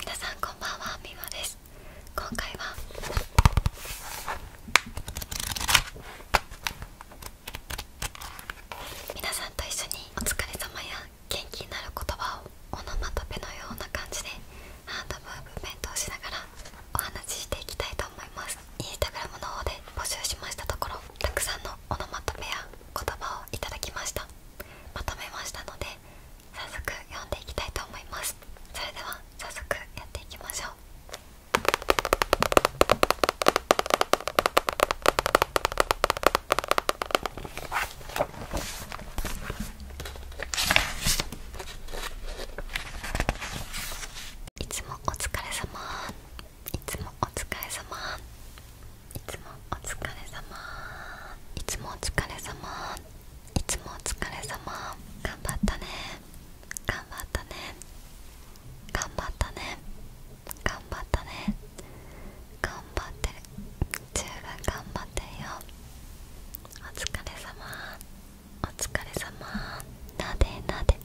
皆さんこんばんはみもです今回は皆さんと一緒にお疲れ様や元気になる言葉をオノマトペのような感じでハンドムーブメントをしながらお話ししていきたいと思いますインスタグラムの方で募集しましたところたくさんのオノマトペや言葉をいただきましたまとめましたので早速読んでいきたいと思いますそれでは早速やっていきましょういつもお疲れ様いつもお疲れ様いつもお疲れ様いつもお疲れ様いつもお疲れ様頑張ったね頑張ったね頑張ったね頑張ったね頑張ってる十分頑張ってるよお疲れ様お疲れ様なでなで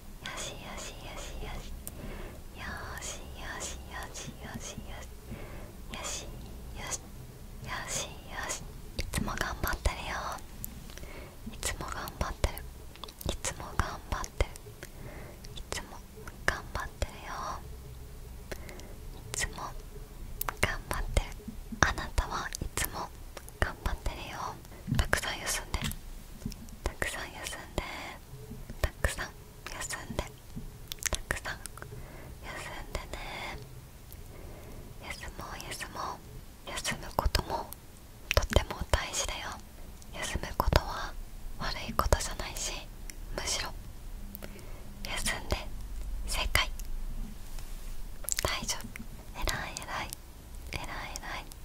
よしよしよしよしよしよしよしよしよしよしよしいつも頑張ってるよいつも頑張ってるいつも頑張ってるいつも頑張ってるよいつも頑張ってるあなたはいつも頑張ってるよたくさん休んでたくさん休んでたくさん休んでたくさん休んでね休もう休もう休むこともとっても大事だよ休むことは悪いことじゃないしむしろ休んで正解大丈夫偉い偉い偉い偉い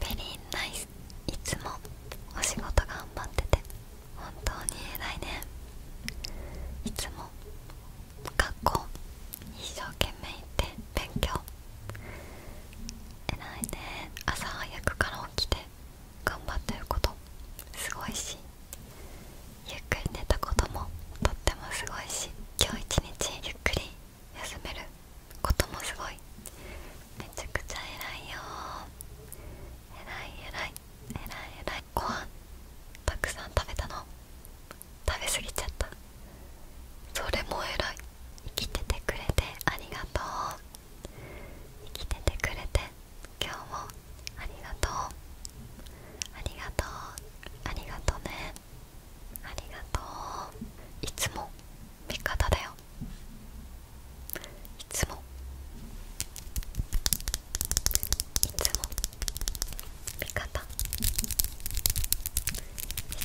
ベリーナイスいつもお仕事頑張ってて本当に偉いねいつも学校一生懸命行って勉強偉いね朝早くから起きて頑張ってることすごいしゆっくり寝たこともとってもすごいし今日一日ゆっくり休めることもすごいめちゃくちゃ偉いよ偉い偉い偉い偉いご飯たくさん食べたの食べ過ぎちゃったそれも偉い生きててくれてありがとう生きててくれて今日もありがとうありがとうありがとうねありがとういつも味方だよいつもいつも味方い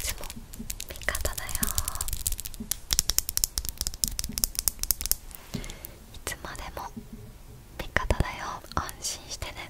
つも味方だよいつまでも味方だよ安心してね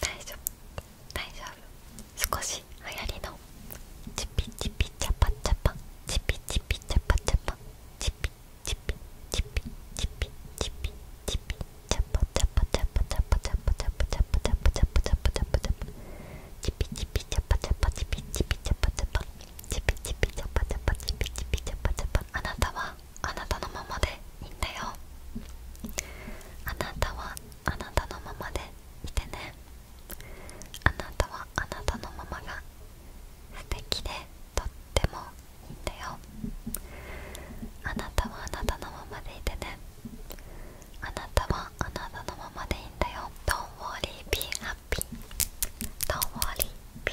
大丈夫大丈夫少し流行りのチピチピチャパチャパチピチピチャパチャパチピチピチピチピチピチピチャパチャパチャパチャパチャパチャパチャパチャパチャパチャパチャパチャチピチピチャパチャパチピチピチャパチャパチピチピチャパチャパチピチピチャパチャパあなたはあなたのままでいいんだよあなたはあなたのままでいてねあなたはあなたのままが素敵でとってもいいんだよあなたはあなたのままでいてねあなたはあなたのままでいいんだよど o n t worry, b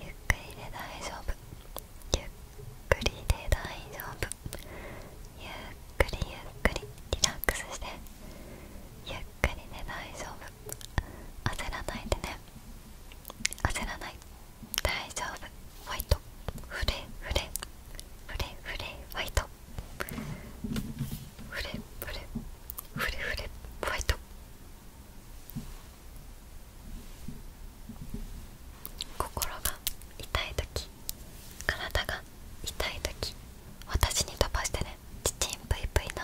ゆっくりで大丈夫ゆっくりで大丈夫ゆっくりゆっくりリラックスしてゆっくりで大丈夫焦らないでね焦らない大丈夫ファイトふれふれ。ふれふれファイトフレフレフレフレファイト心が痛い時体が痛い時私に飛ばしてねチチンプイプイの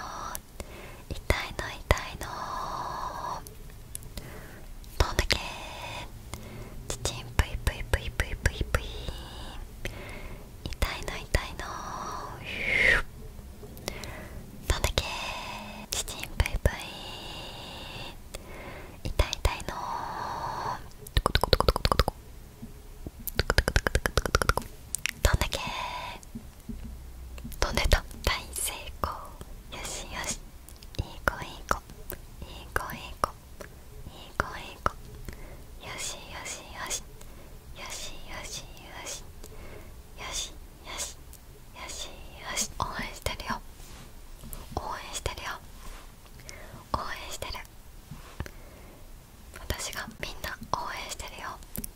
痛いの痛いのどんだけチチンプイプイプイプイプイプイ痛いの痛いのどんだけチんンいイいイ痛い痛いのトコトコトコトコトコトコトコトコトコトコトコトコどんだけ飛んでた大成功よしよしいい子いい子いい子いい子いい子いい子よしよしよしよしよしよしよしよしよしよし応援してるよ応援してるよ応援してる私がみんな応援してるよ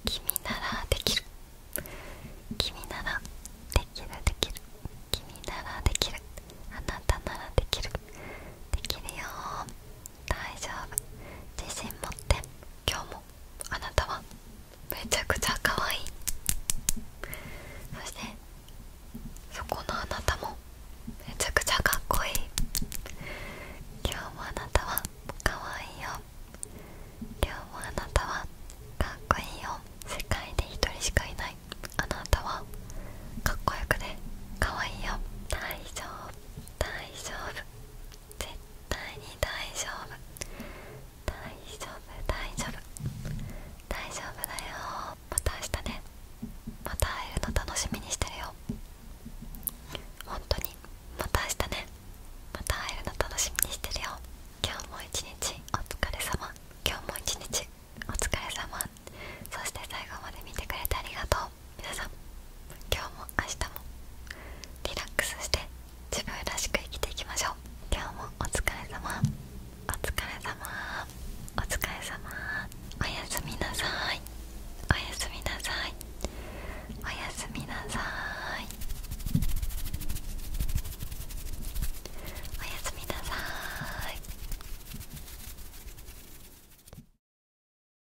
君ならできる君ならできるできる君ならできるあなたならできるできるよ大丈夫自信持って今日もあなたはめちゃくちゃ可愛いそしてそこのあなたもめちゃくちゃかっこいい今日もあなたは可愛いよ今日もあなたはかっこいいよ世界で一人しかいないあなたはかっこよくてかわいいよ大丈夫大丈夫絶対に大丈夫大丈夫大丈夫大丈夫だよまた明日ねまた会えるの楽しみにしてるよ本当にまた明日ねまた会えるの楽しみにしてるよ今日も一日お疲れ様今日も一日お疲れ様そして最後まで見てくれてありがとう皆さん今日も明日もリラックスして自分らしく生きていきましょう今日もお疲れ様お疲れ様お疲れ様おやすみなさいおやすみなさいおやすみなさいおやすみなさい